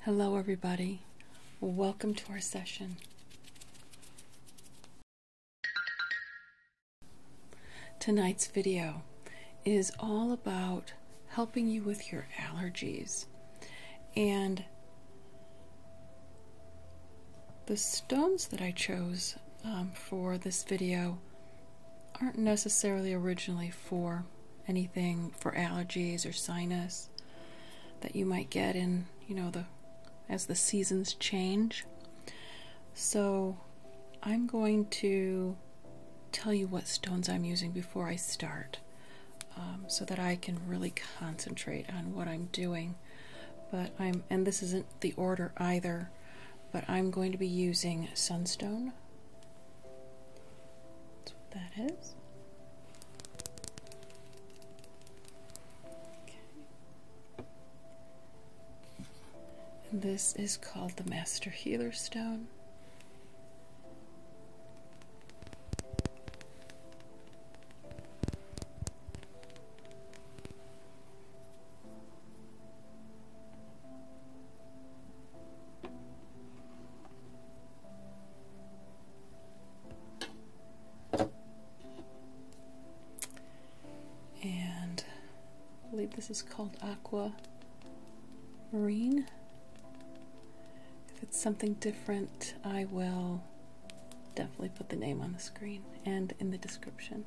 Hello, everybody. Welcome to our session. Tonight's video is all about helping you with your allergies. And the stones that I chose um, for this video aren't necessarily originally for anything for allergies or sinus that you might get in, you know, the as the seasons change. So, I'm going to tell you what stones I'm using before I start um, so that I can really concentrate on what I'm doing. But I'm, and this isn't the order either, but I'm going to be using sunstone, that's this is called the Master Healer Stone. And I believe this is called Aqua Marine. If it's something different, I will definitely put the name on the screen and in the description.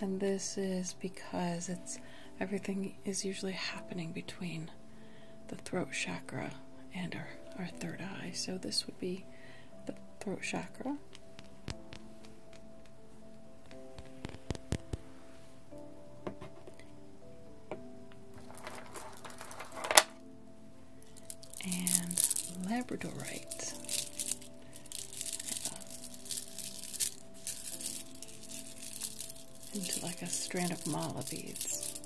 And this is because it's everything is usually happening between the throat chakra and our, our third eye. So this would be the throat chakra. And Labradorite into like a strand of mala beads.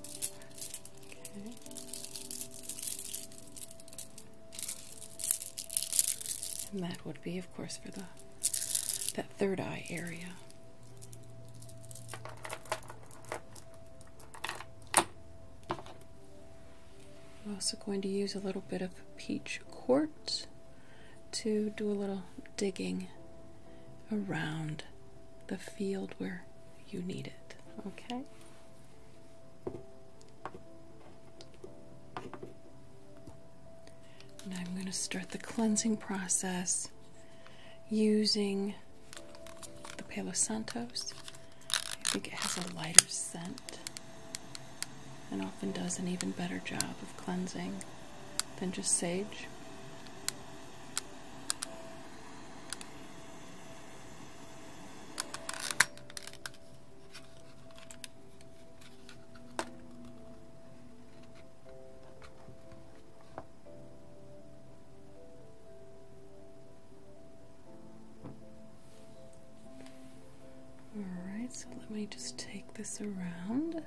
And that would be, of course, for the that third eye area. I'm also going to use a little bit of peach quartz to do a little digging around the field where you need it. Okay? I'm going to start the cleansing process using the Palo Santos. I think it has a lighter scent and often does an even better job of cleansing. Then just sage. All right, so let me just take this around.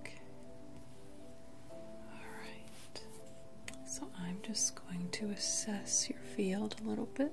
Okay. Alright. So I'm just going to assess your field a little bit.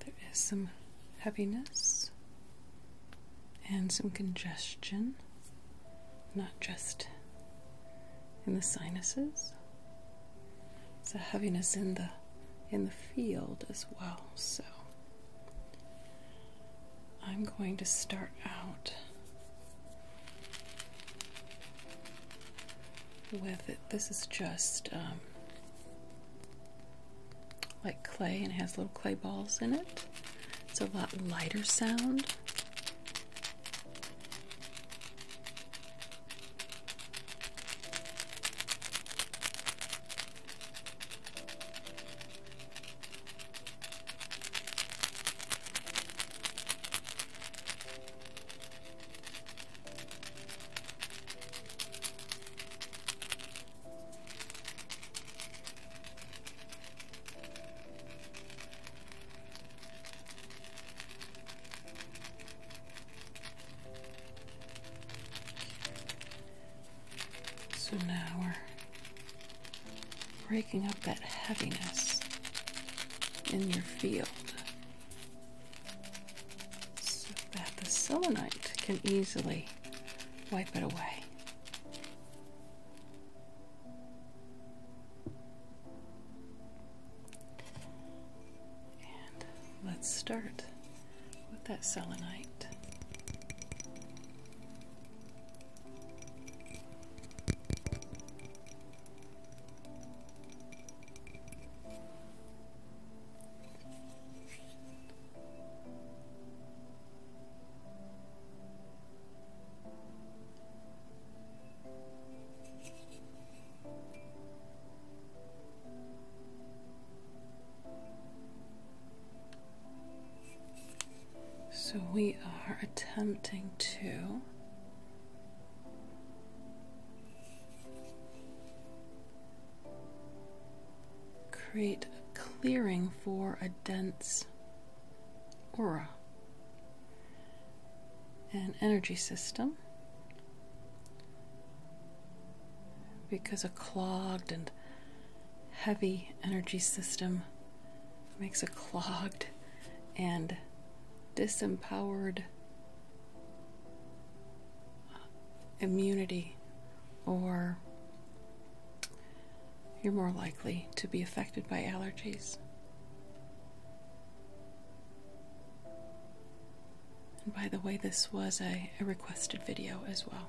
There is some heaviness and some congestion, not just in the sinuses. It's a heaviness in the in the field as well. So I'm going to start out with This is just um, like clay and has little clay balls in it. It's a lot lighter sound. So now we're breaking up that heaviness in your field so that the selenite can easily wipe it away. And let's start with that selenite. So we are attempting to Create a clearing for a dense aura an energy system because a clogged and heavy energy system makes a clogged and disempowered uh, immunity, or you're more likely to be affected by allergies. And by the way, this was a, requested video as well.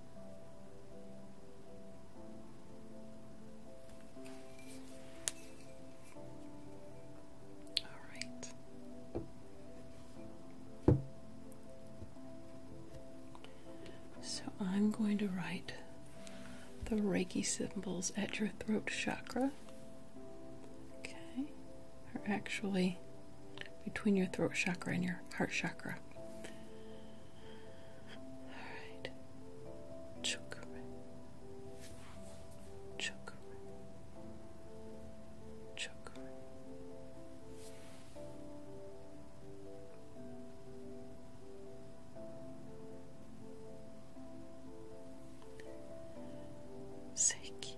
All right. So I'm going to write the Reiki symbols at your throat chakra. Okay, or actually between your throat chakra and your heart chakra. All right. Chakra. Chakra. Chakra. Seki.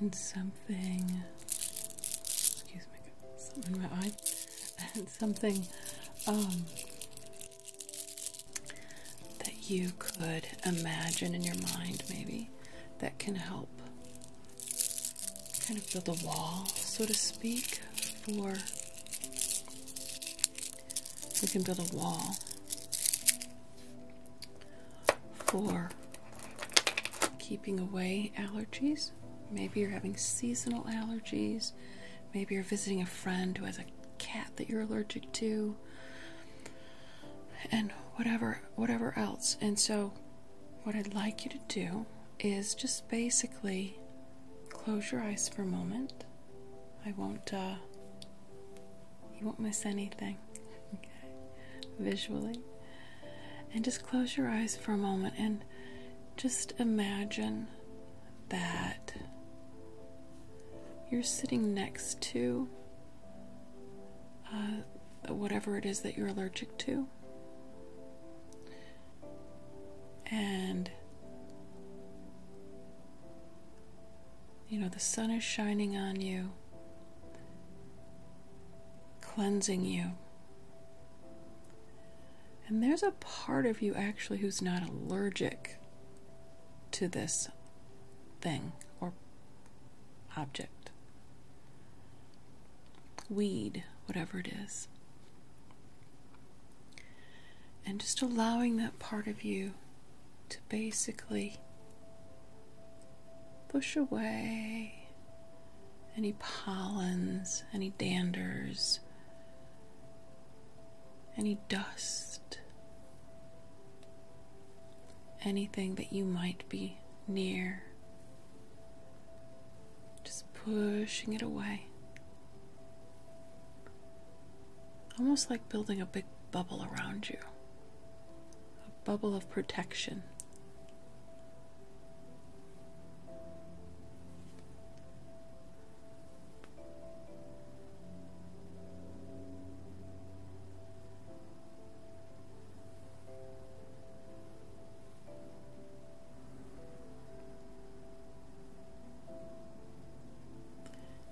and something excuse me something in my eye and something um, that you could imagine in your mind maybe that can help kind of build a wall, so to speak, for we can build a wall for keeping away allergies. Maybe you're having seasonal allergies. Maybe you're visiting a friend who has a cat that you're allergic to. And whatever whatever else. And so, what I'd like you to do is just basically close your eyes for a moment. I won't, uh, you won't miss anything, visually. And just close your eyes for a moment and just imagine that you're sitting next to uh, whatever it is that you're allergic to. And you know, the sun is shining on you, cleansing you. And there's a part of you actually who's not allergic to this thing or object, weed, whatever it is. And just allowing that part of you to basically push away any pollens, any danders, any dust anything that you might be near. Just pushing it away. Almost like building a big bubble around you, a bubble of protection.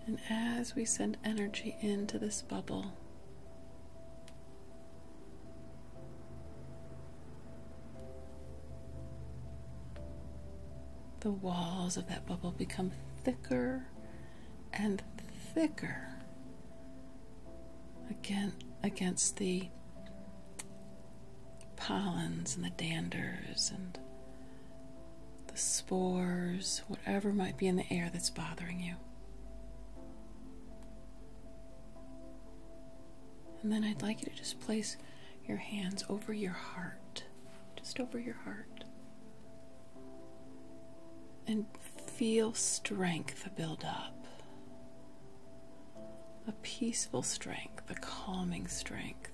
And as we send energy into this bubble, the walls of that bubble become thicker and thicker against the pollens and the danders and the spores, whatever might be in the air that's bothering you. And then I'd like you to just place your hands over your heart, just over your heart and feel strength build up. A peaceful strength, a calming strength.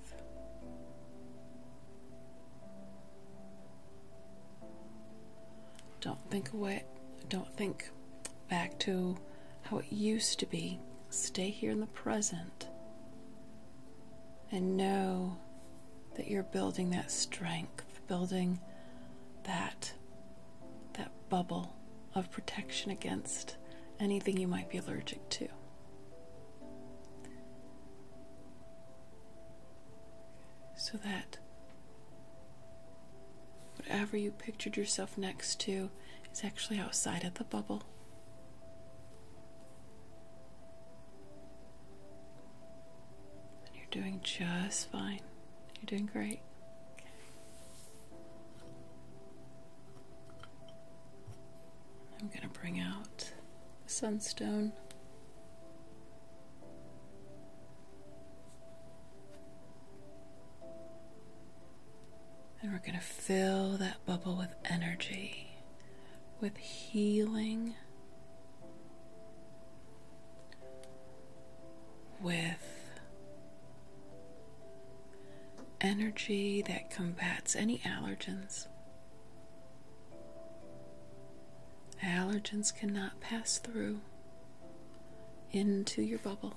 Don't think away, don't think back to how it used to be. Stay here in the present and know that you're building that strength, building that that bubble of protection against anything you might be allergic to. So that whatever you pictured yourself next to is actually outside of the bubble you're doing just fine. You're doing great. I'm going to bring out the sunstone. And we're going to fill that bubble with energy, with healing with energy that combats any allergens. Allergens cannot pass through into your bubble.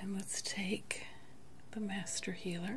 And let's take the Master Healer.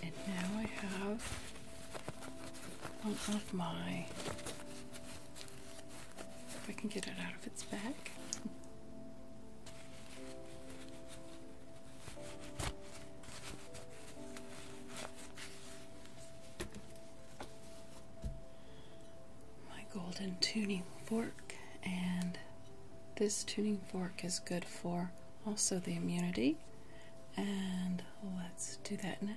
And now I have one of my if I can get it out of its bag. My golden tuning fork, and this tuning fork is good for also the immunity. And let's do that now.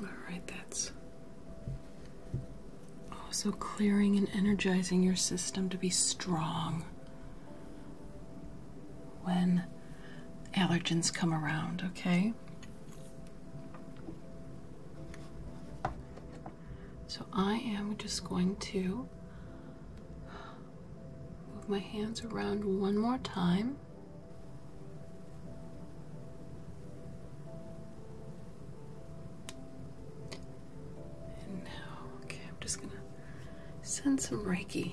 All right, that's also clearing and energizing your system to be strong when allergens come around, okay? So I am just going to move my hands around one more time okay, I'm just gonna send some Reiki.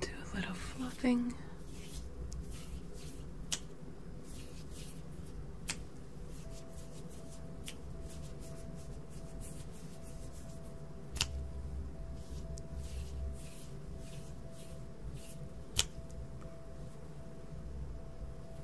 Do a little fluffing.